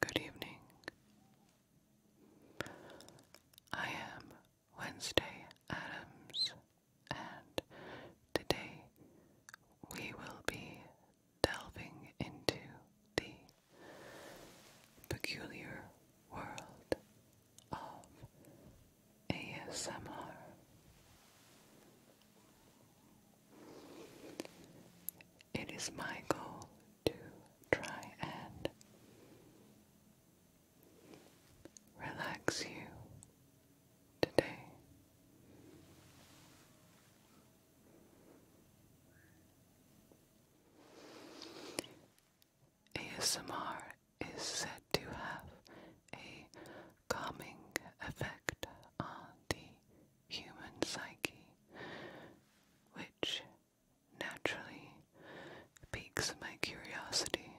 Good evening. I am Wednesday Adams, and today we will be delving into the peculiar world of ASMR. It is my goal to try and relax you today. ASMR is said to have a calming effect on the human psyche, which naturally piques my curiosity.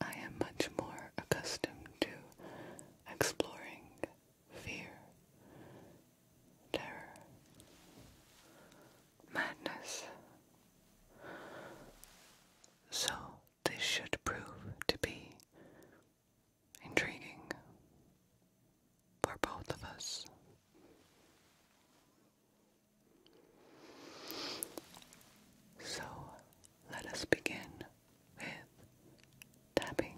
I am much more accustomed to exploring fear, terror, madness. So, this should prove to be intriguing for both of us. So, let us begin with tapping.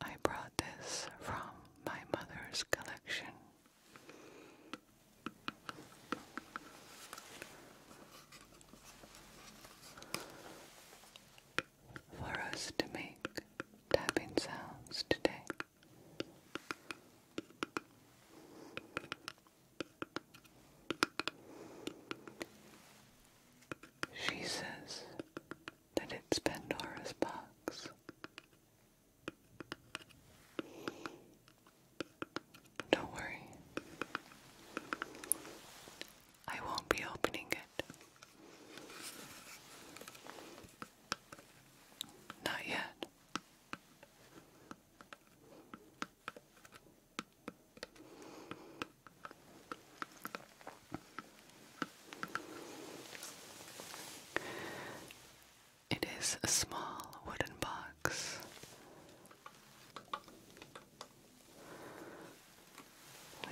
I brought this from my mother's collection for us to make tapping sounds today. She says that it's Pandora's box. Don't worry. I won't be opening it. Not yet. It is a small wooden box. With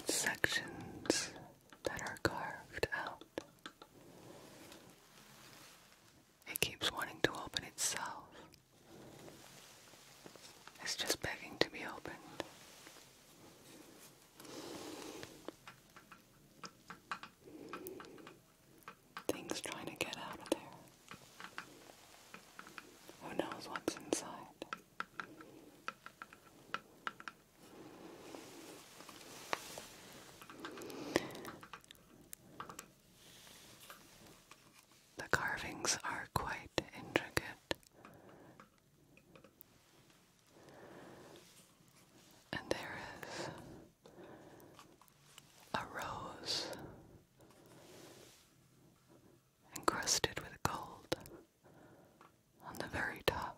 sections that are carved out. It keeps wanting to open itself. It's just begging to be opened. Things trying to get out of there. Who knows what's inside? The carvings are quite intricate, and there is a rose encrusted with gold on the very top.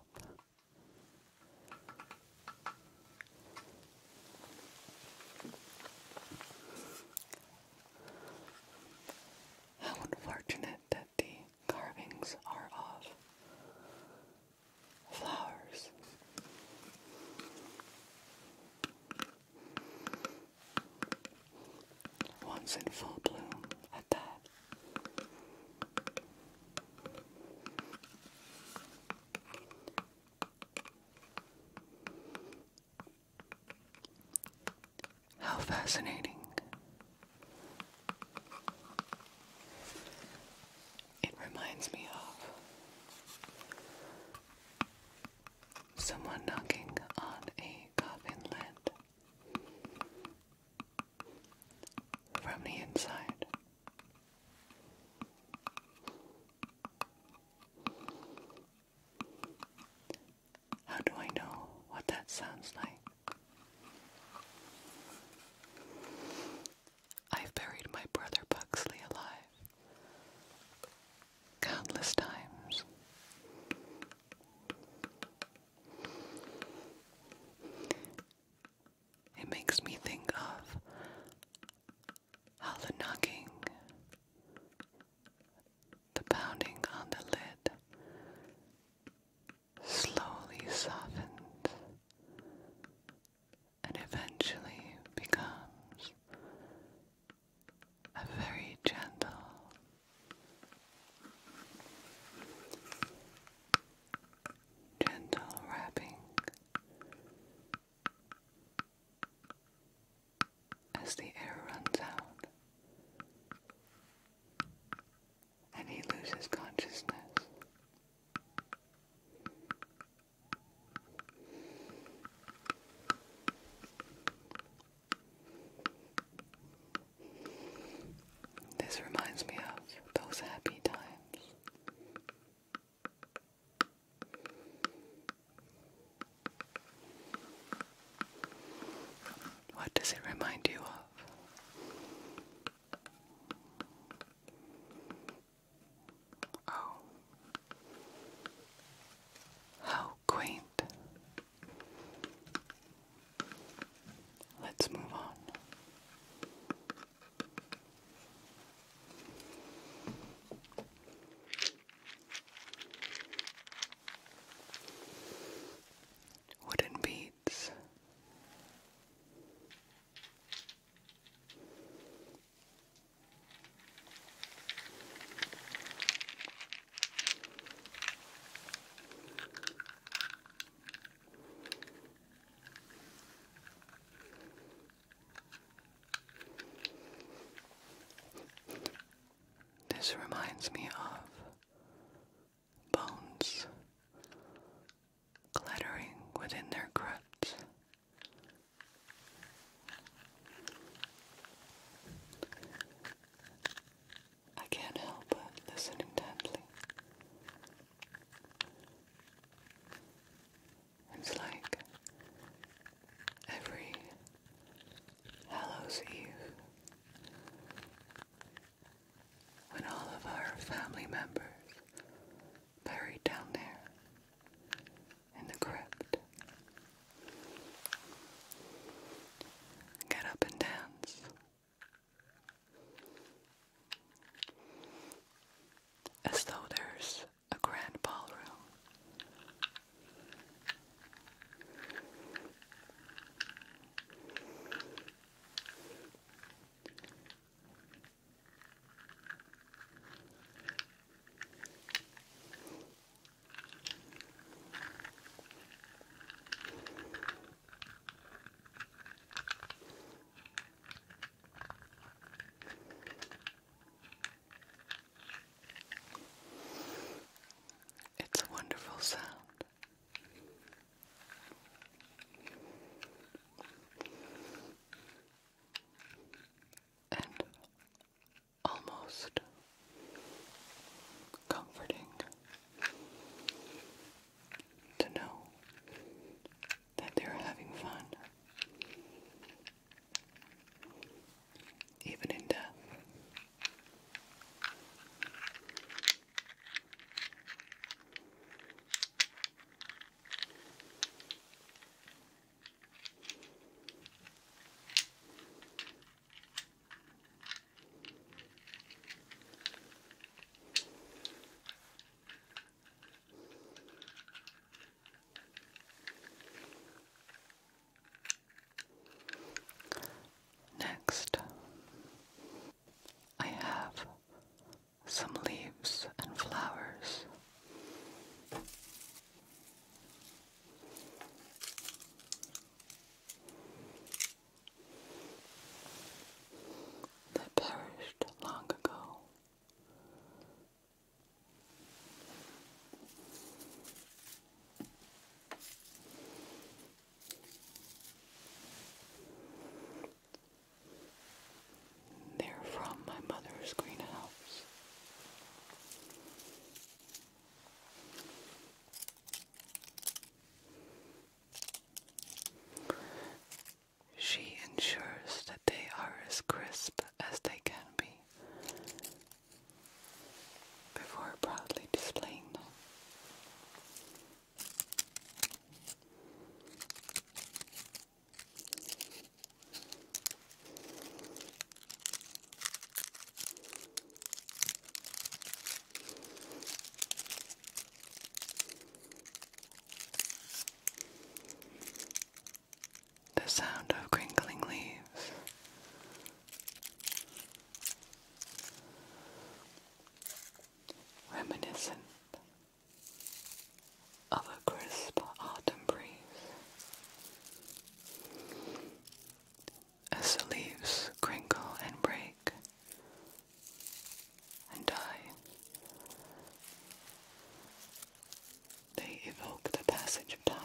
How unfortunate that the carvings are of flowers. Once in full bloom at that. How fascinating. It reminds me of Someone knocking on a coffin lid. From the inside. How do I know what that sounds like? I've buried my brother Buxley alive countless times. It makes me think of how the knocking, the pounding on the lid slowly softened and eventually becomes a very gentle gentle wrapping as the air runs out and he loses consciousness. This reminds me of those happy times. What does it remind you of? Oh, how quaint. Let's move on. Wooden beads. This reminds me of bones clattering within their crypts. I can't help but listen intently. It's like every Hallows when all of our family members buried down there in the crypt Get up and dance. As though there's a grand ballroom. It's a wonderful sound. And almost comforting to know that they're having fun, even in death. Next, I have some leaves and flowers. They perished long ago. They're from my mother's greenhouse. She ensures that they are as crisp as they can be before proudly displaying them. The sound of crinkling leaves. Reminiscent of a crisp autumn breeze as the leaves crinkle and break and die. They evoke the passage of time.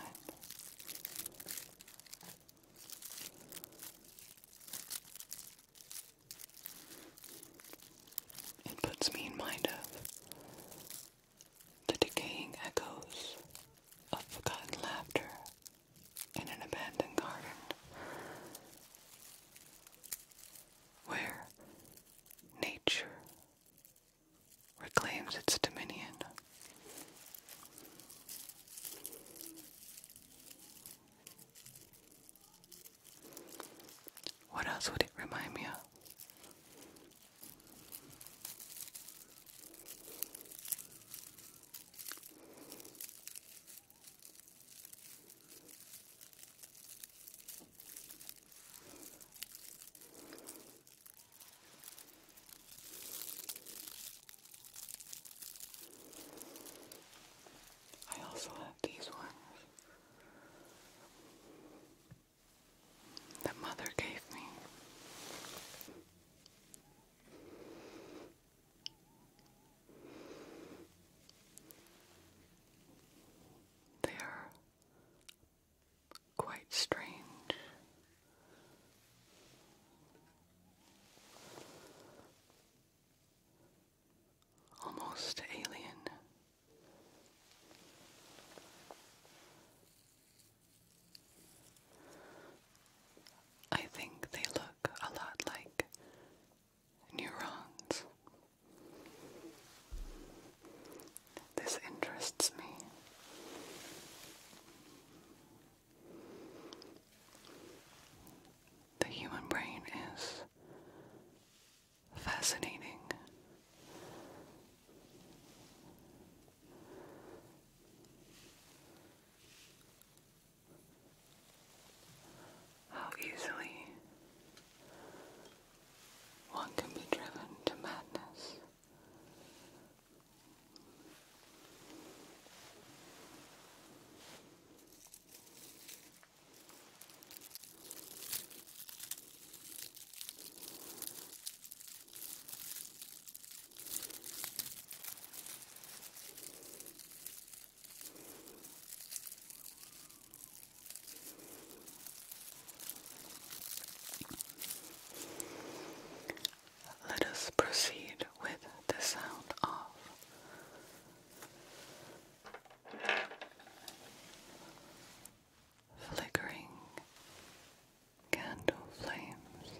It puts me in mind of the decaying echoes of forgotten laughter in an abandoned garden where nature reclaims its dominion. What else would it remind me of? I also have these ones that mother gave me. They are quite strange. Almost alien. I think they look a lot like neurons. This interests me. The human brain is fascinating how easily one can be driven to madness. Let us proceed with the sound of flickering candle flames.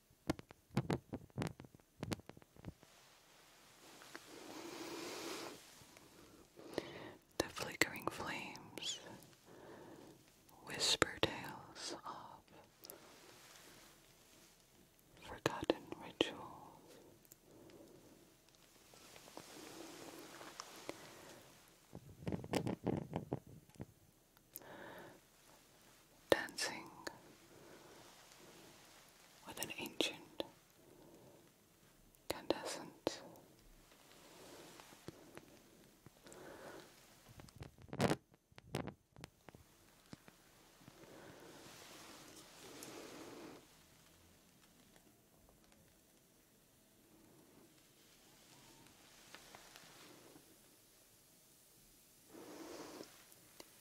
The flickering flames whisper tales of forgotten rituals dancing with an ancient candescent.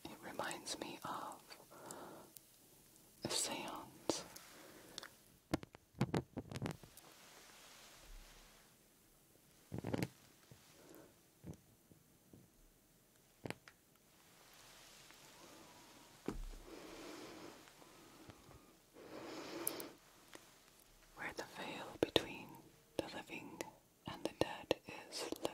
It reminds me of a seance. Where the veil between the living and the dead is lifted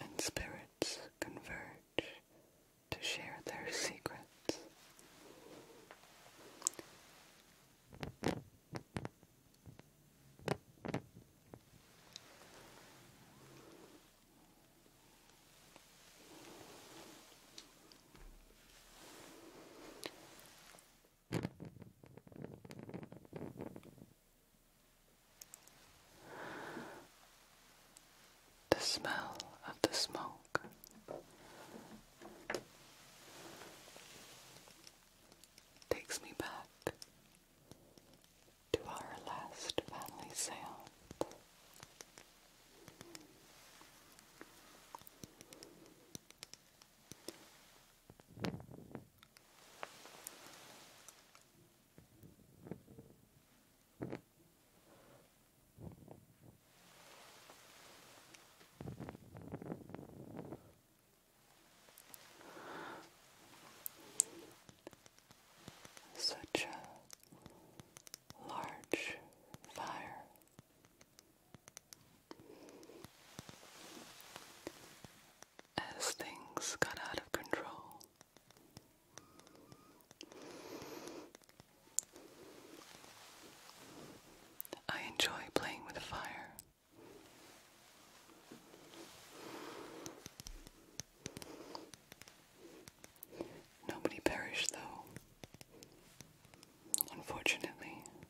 and spirits converge to share their secrets. The smell of the smoke. Takes me back to our last family seance. Such a large fire as things got out of control. I enjoy playing with fire. Nobody perished, though. Unfortunately,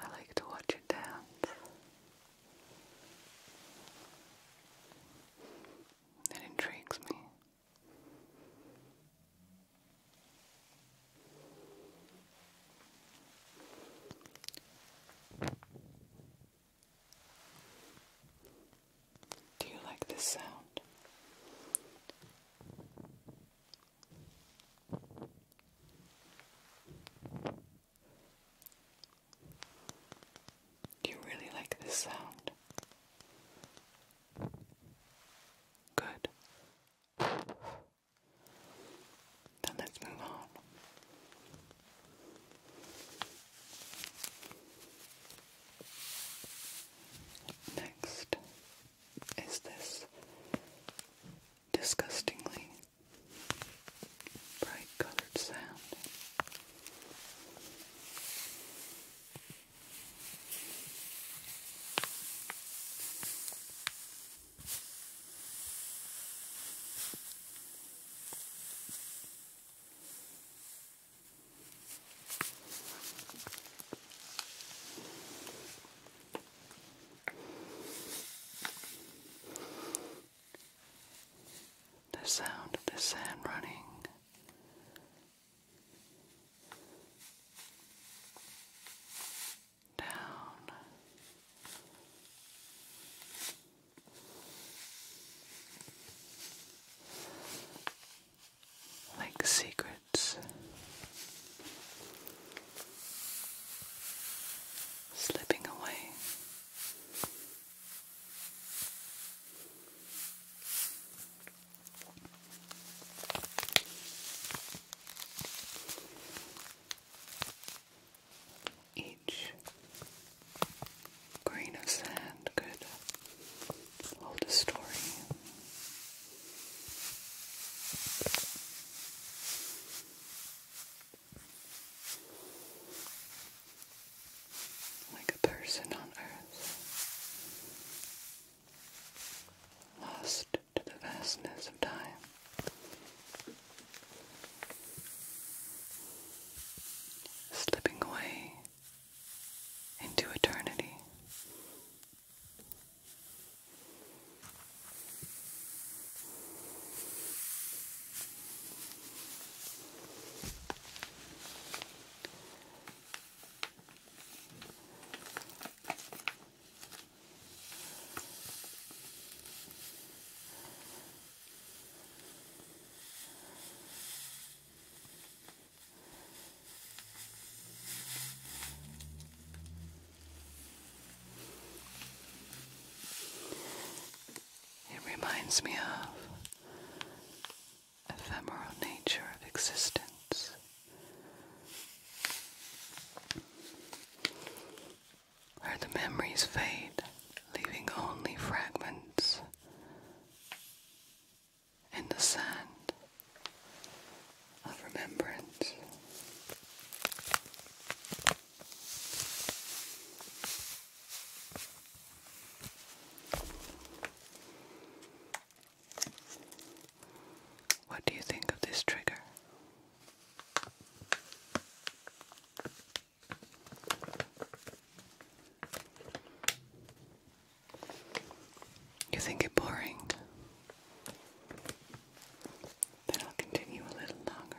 I like to watch you dance it intrigues me do you like this sound? Do you really like this sound? Good. Then let's move on. Next is this disgustingly bright colored sound. The sound of the sand running down. Like secrets slipping away. Each grain of sand could hold a story. Like a person on earth, lost to the vastness of time. Slipping away into eternity. It reminds me of ephemeral nature of existence where the memories fade, leaving only fragments in the sand of remembrance. What do you think of this trigger? You think it boring? Then I'll continue a little longer.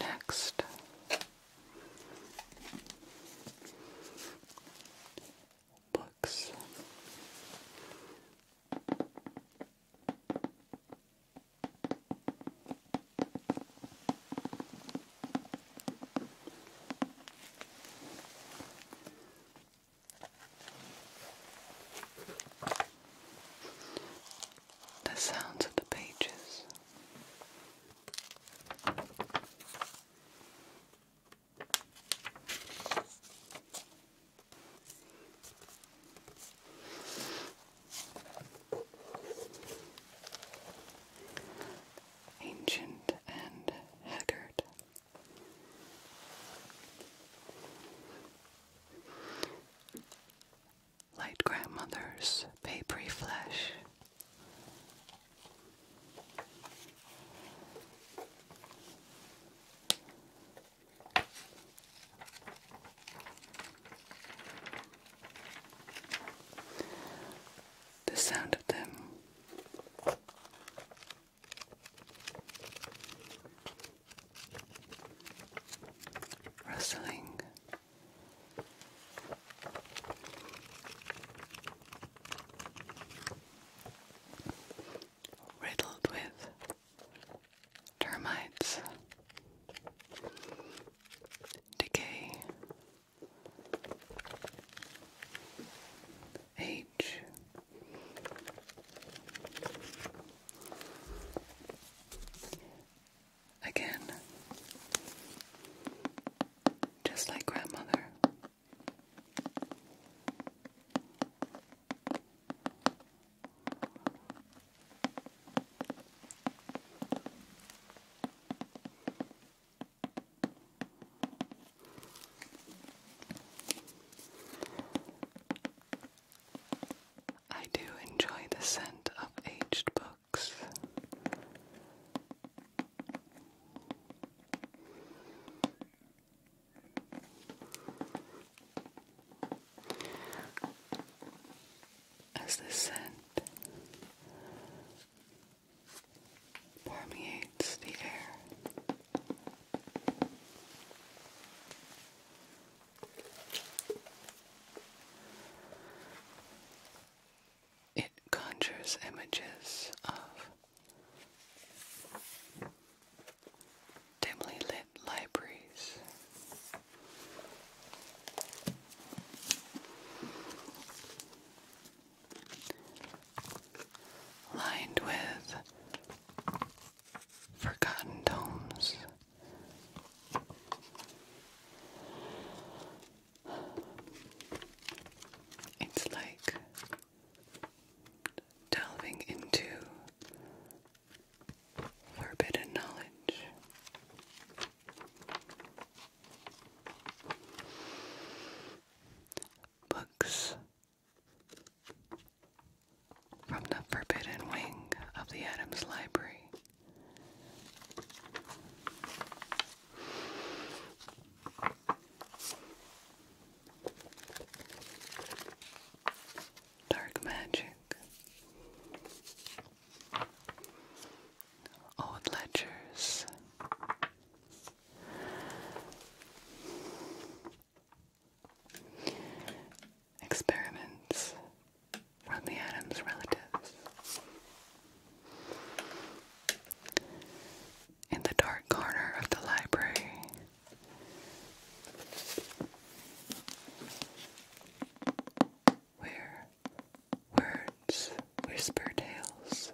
Next, books. The sounds of the pages. Ancient and Haggard. Light grandmother's papery flesh. The sound of them rustling. Riddled with termites, decay, age, again, just like grandmother. I do enjoy the scent of aged books as the scent permeates the air. It conjures images of dimly lit libraries lined with forgotten tomes. It's like delving into forbidden knowledge. Books from the forbidden wing of the Adams Library. Dark magic, old ledgers. Experiments from the Adams' relatives. In the dark corner of the library, where Words whisper tales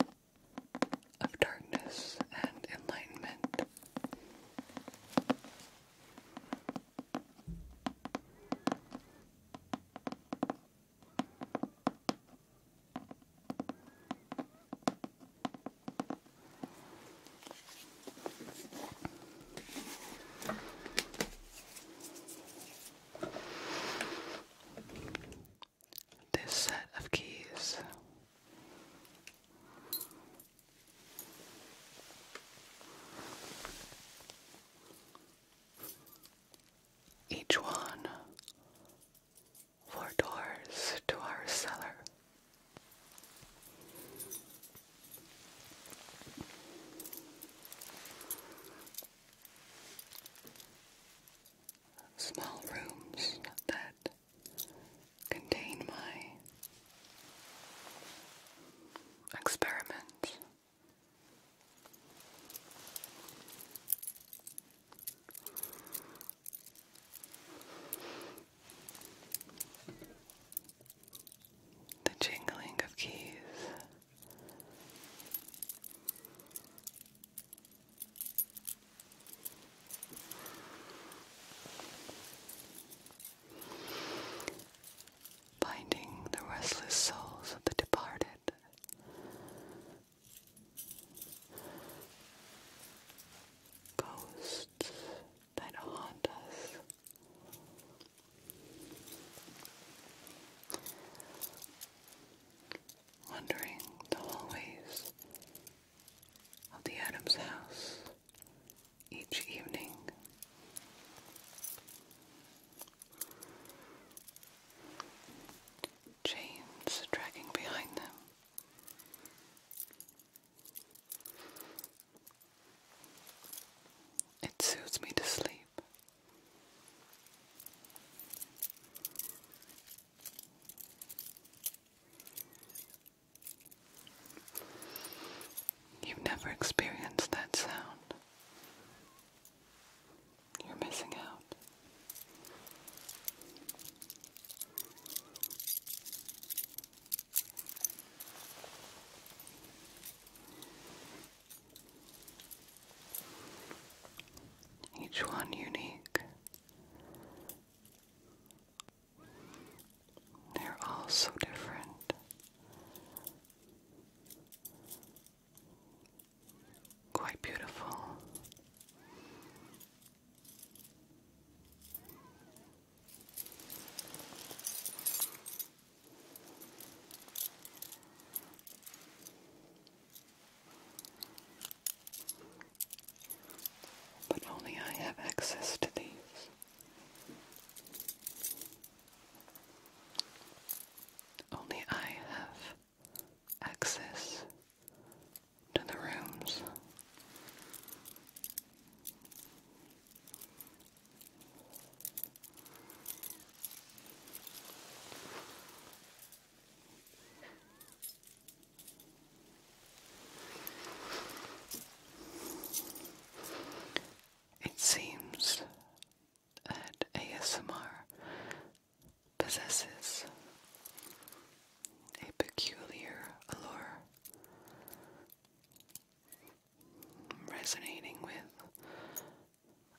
of darkness and enlightenment. This set of keys each one four doors to our cellar Small rooms that contain my experiments. The jingling of keys Finding the restless souls of the departed. Ghosts that haunt us, wandering the hallways of the Adams house each evening. Chains dragging behind them. It soothes me to sleep. You've never experienced that sound. You're missing out each one unique. They're all so different. Quite beautiful. But only I have access to these. Only I have access to the rooms. It seems that ASMR possesses a peculiar allure resonating with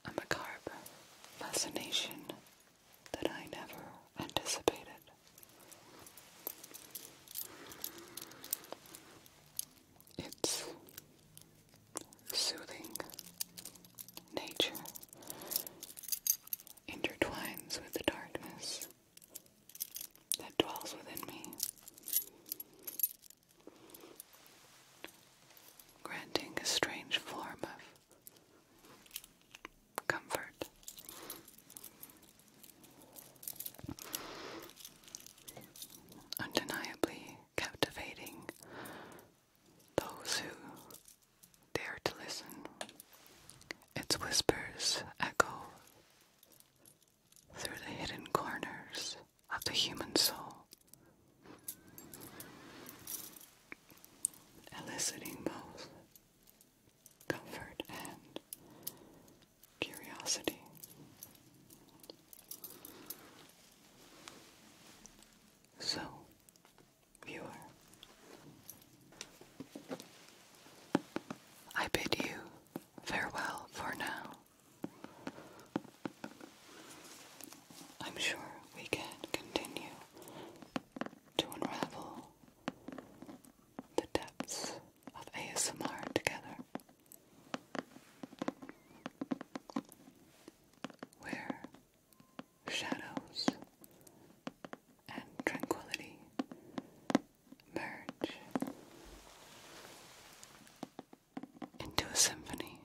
a macabre fascination that I never anticipated. Its soothing nature intertwines with the darkness that dwells within me granting a strange form of comfort. Undeniably captivating those who dare to listen. Its whispers echo through the hidden corners of the human soul, eliciting both comfort and curiosity. So, viewer, I bid you farewell for now. I'm sure we can continue to unravel the depths of ASMR together. Where shadows and tranquility merge into a symphony.